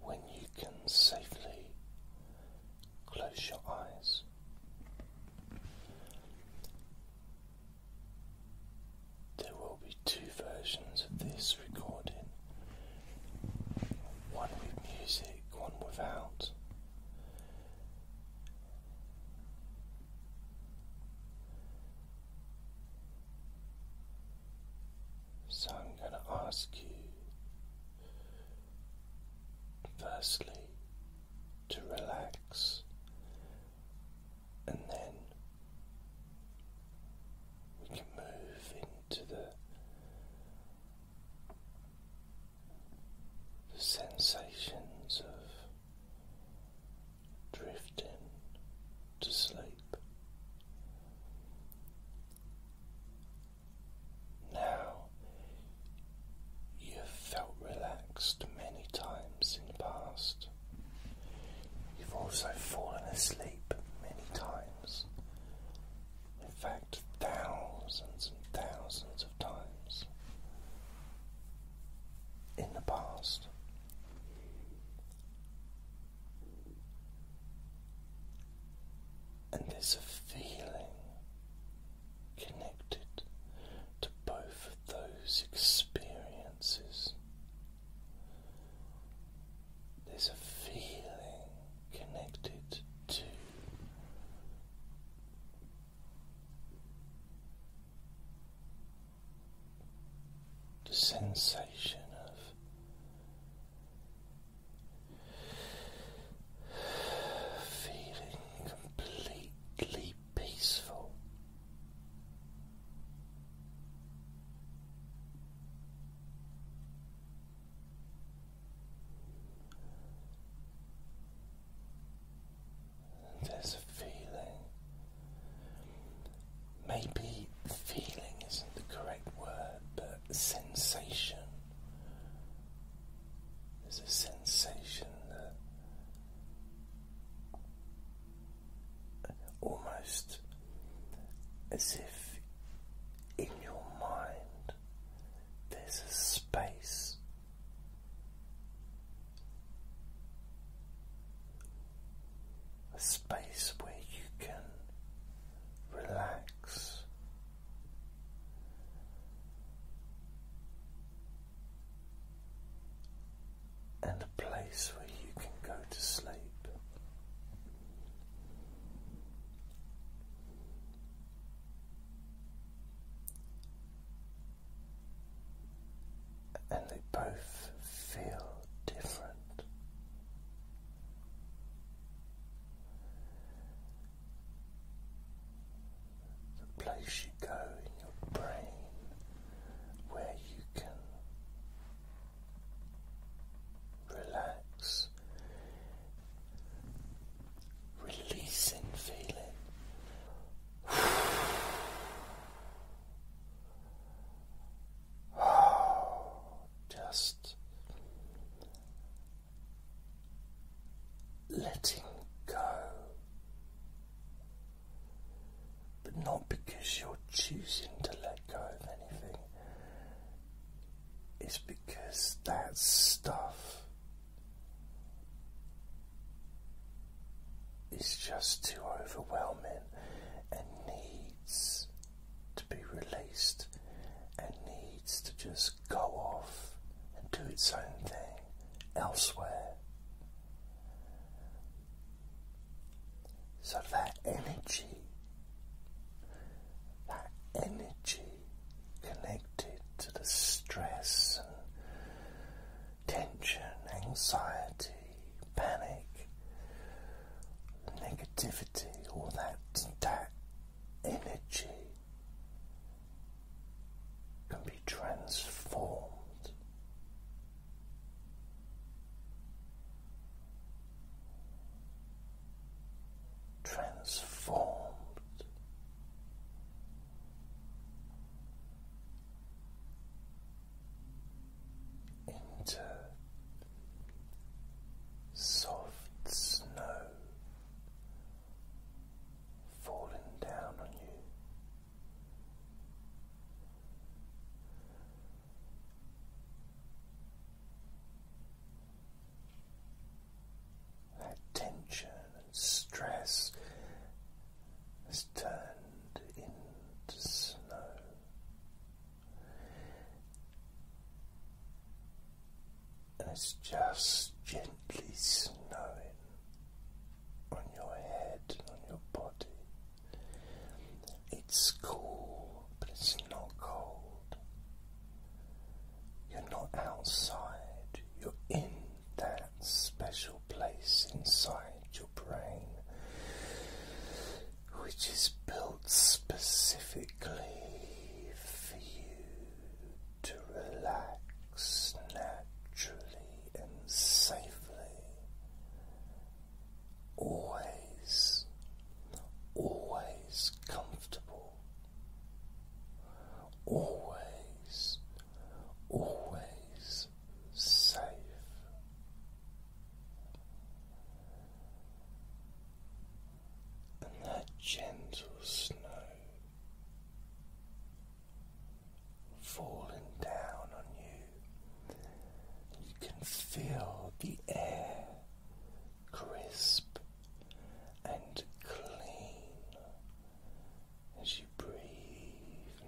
when you can safely close your eyes. There will be two versions of this recording one with music, one without. So I'm going to ask you, firstly, to relax and then we can move into the, sensations of drifting to sleep. Now you have felt relaxed many times in the past. You've also fallen asleep many times. In fact, thousands and thousands of times in the past. And there's a feeling connected to both of those experiences. There's a feeling connected to the sensation of feeling completely peaceful. there's a feeling Maybe feeling isn't the correct word, but sensation. There's a sensation that almost as if in your mind there's a space a space where you can relax. And a place where you can go to sleep and they both feel different. The place you go in your brain where you can relax, releasing feeling. Just letting go, but not because you're choosing to let go of anything, it's because that stuff is just too overwhelming and needs to be released and needs to just go off and do its own thing elsewhere. So that energy, that energy connected to the stress tension, anxiety, panic, negativity, all that, that energy can be transformed. Transformed into soft snow falling down on you. That tension and stress it's turned into snow. And it's just gently snowing on your head and on your body. It's cool, but it's not cold. You're not outside, you're in that special place inside brain, which is built specifically for you to relax naturally and safely. Always, always comfortable. Always, always safe. And that gentle snow falling down on you, you can feel the air crisp and clean as you breathe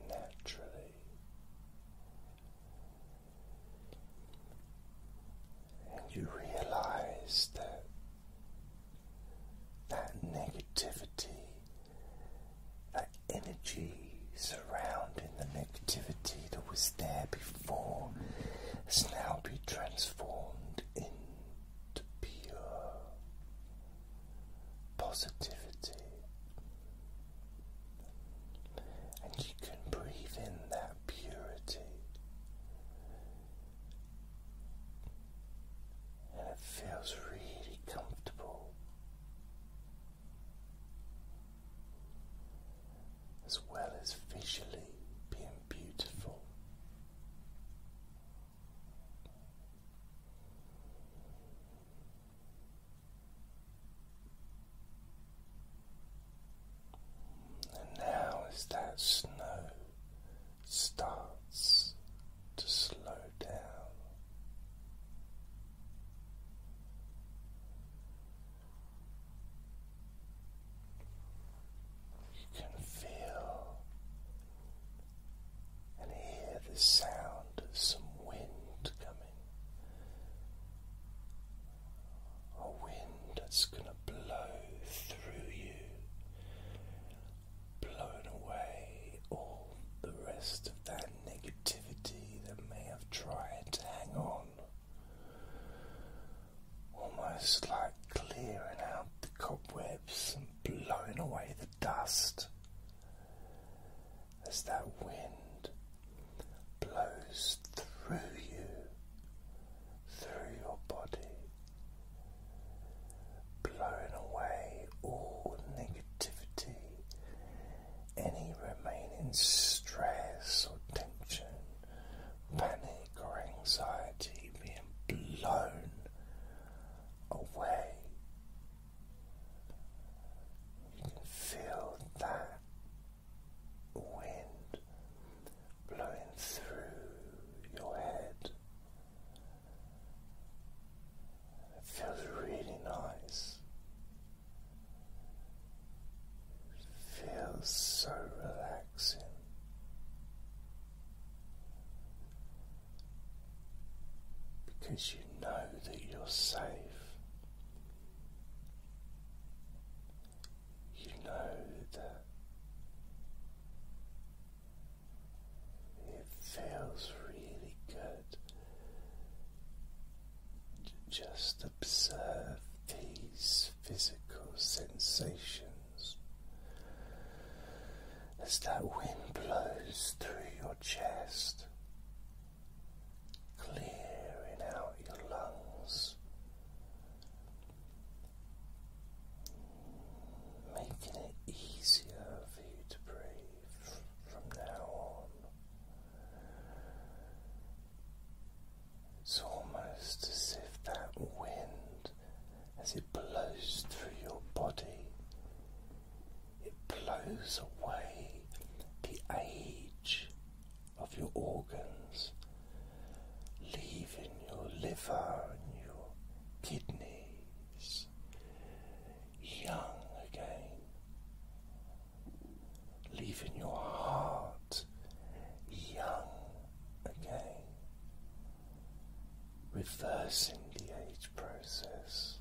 naturally and you realize that that negativity, that energy surrounding the negativity that was there before, has now been transformed into pure positivity. And you can breathe in that purity, and it feels really comfortable as well as visually being beautiful. And now, as that snow starts to slow down, you can feel and hear the sound of some wind coming. A wind that's going to blow through you, blowing away all the rest of that negativity that may have tried to hang on. Almost like clearing out the cobwebs and blowing away the dust as that wind blows through you, through your body, blowing away all negativity, any remaining stress or tension, panic or anxiety being blown away you can feel that wind blowing through your head. It feels really nice. It feels so relaxing because you know that you're safe. You know that it feels really good just observe these physical sensations as that wind blows through your chest, clearing out your lungs, making it easier for you to breathe from now on. It's almost as if that wind, as it blows through your body, it blows away the age of your organs, leaving your liver and your kidneys young again, leaving your heart young again reversing the age process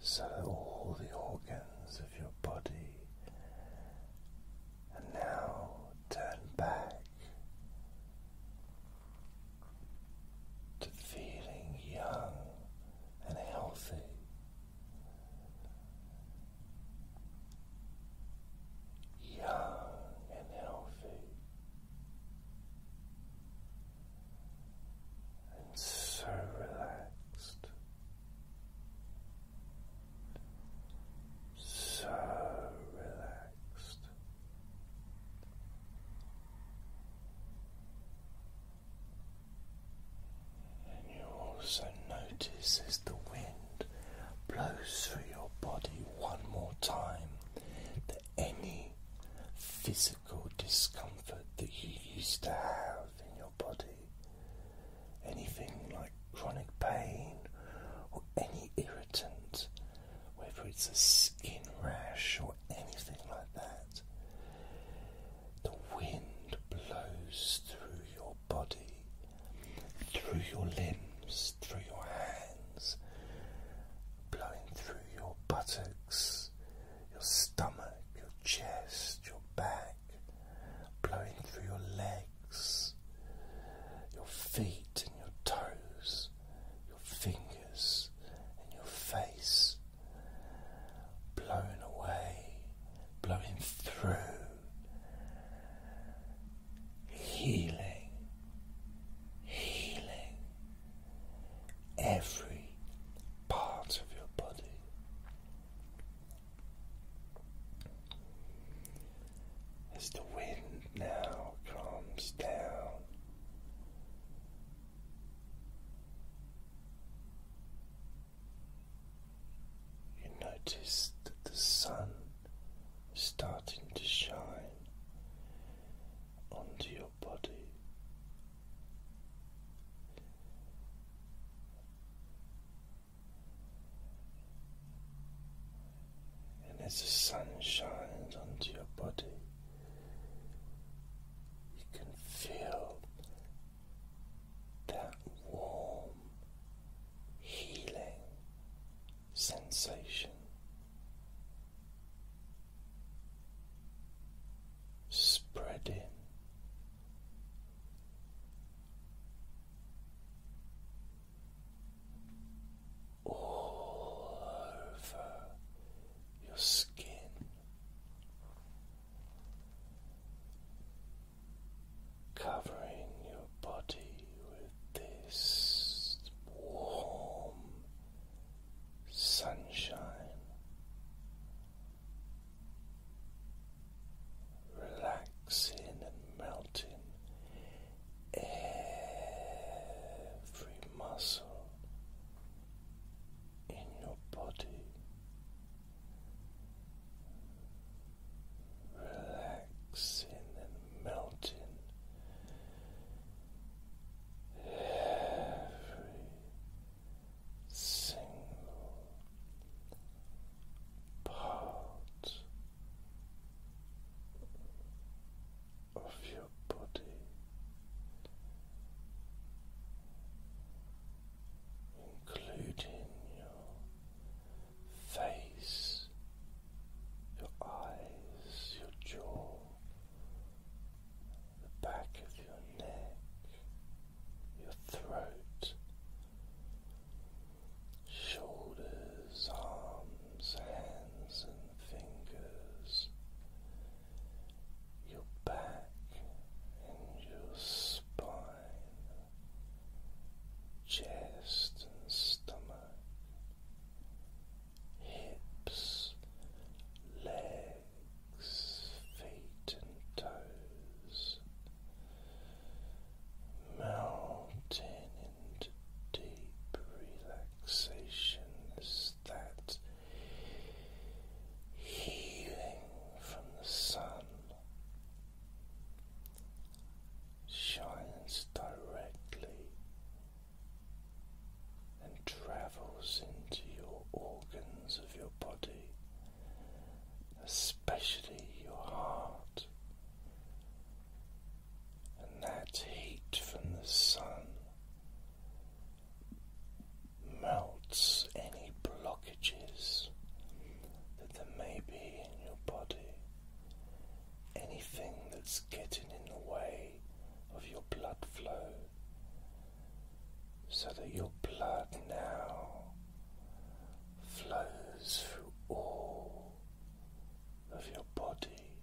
so all the organs of your body are now turned back to feeling young and healthy. Young and healthy and so relaxed, so relaxed. And you also notice as the wind blows through your body one more time the any physical discomfort that you used to have in your body, anything like chronic pain or any irritant, whether it's a skin rash or anything like that. The wind blows through your body, through your limbs, through your hands, blowing through your buttocks, your stomach, your chest, your back, blowing through your legs, your feet and your toes, your fingers and your face, blowing away, blowing through healing, healing every part of your body. As the wind now calms down, you notice that the sun starting to shine onto your body. And as the sun shines onto your body, you can feel that warm healing sensation, spreading. All over your skin, covering your body with this warm sunshine. Relaxing and melting every muscle in your body, relaxing and melting every single part of your body. Including your face, your eyes, your jaw, the back of your neck, your throat, shoulders, arms, hands, and fingers, your back and your spine, chest and stomach hips, legs, feet, and toes, mounting into deep relaxation that healing from the sun shines directly and travels into your organs of your body, especially your heart. And that heat from the sun melts any blockages that there may be in your body anything that's getting in the way of your blood flow so that your blood now flows through all of your body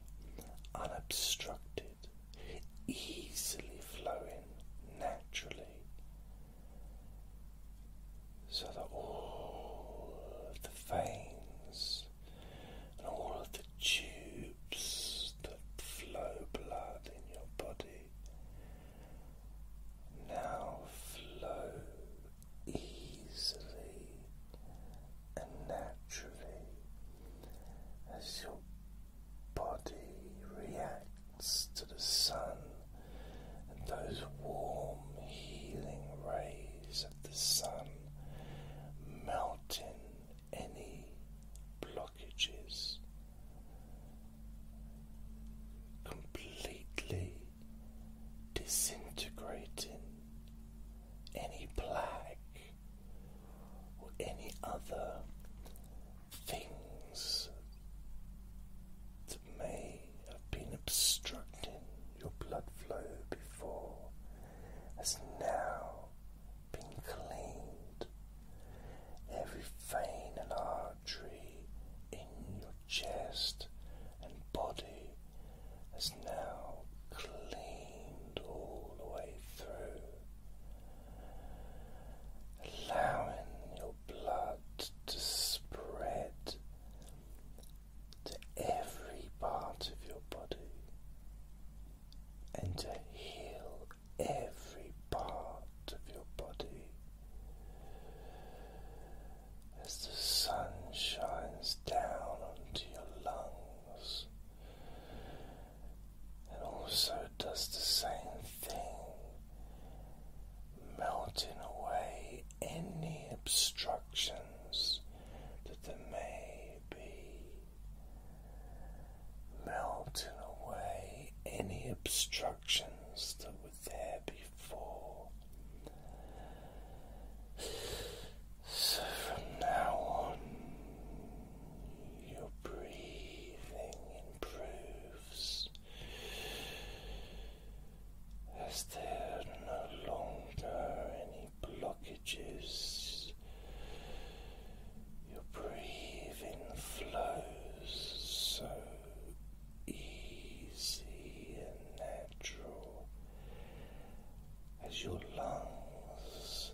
unobstructed, easily flowing naturally so that all of the veins and all of the tubes that flow blood in your body now flow easily and naturally as your body reacts to the sun and those warm healing rays the sun, melting any blockages, completely disintegrating any plaque or any other things that may have been obstructing your blood flow before has now been cleaned. Every vein and artery in your chest and body has now cleaned all the way through, allowing your blood to spread to every part of your body and to heal every part of your body as the sun shines down onto your lungs it also does the same thing melting away any obstructions that there may be, melting away any obstructions that were there before. So from now on, your breathing improves as there are no longer any blockages. Your breathing flows so easy and natural as your lungs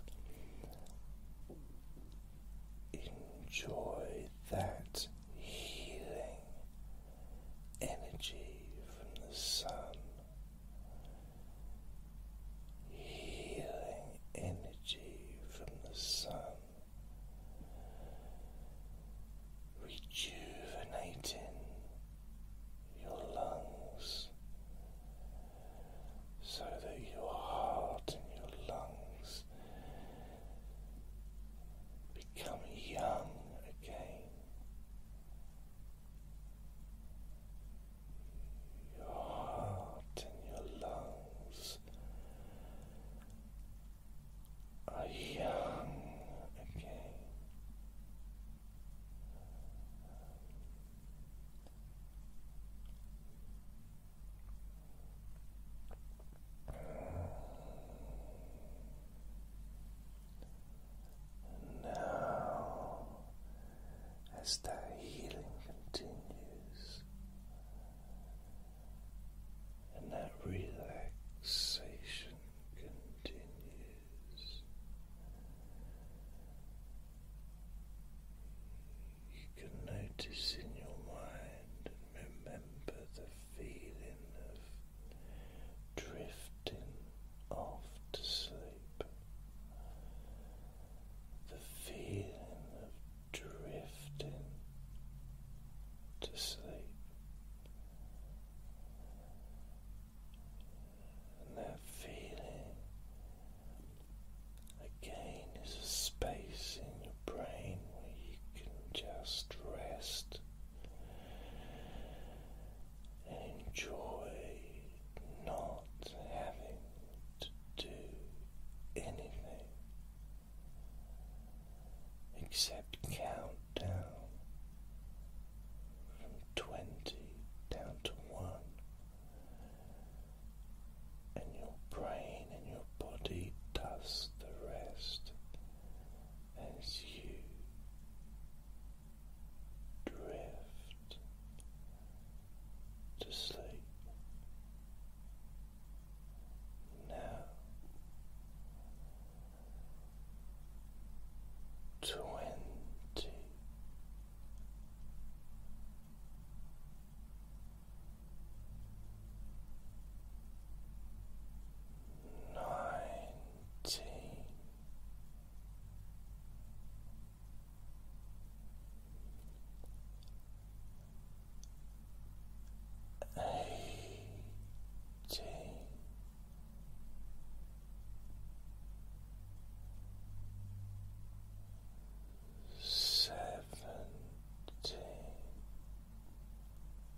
enjoy that healing energy from the sun, healing energy from the sun, rejuvenating your lungs so that your heart and your lungs become young again. Your heart and your lungs are young again. And now, as that healing continues and that relaxation continues, you can notice in your mind remember the feeling of drifting off to sleep, the feeling of drifting to sleep, and that feeling again is a space in your brain where you can just rest and enjoy not having to do anything except count down from 20 down to 1 and your brain and your body does the rest as you drift to sleep. Now, twenty nineteen eighteen Seventeen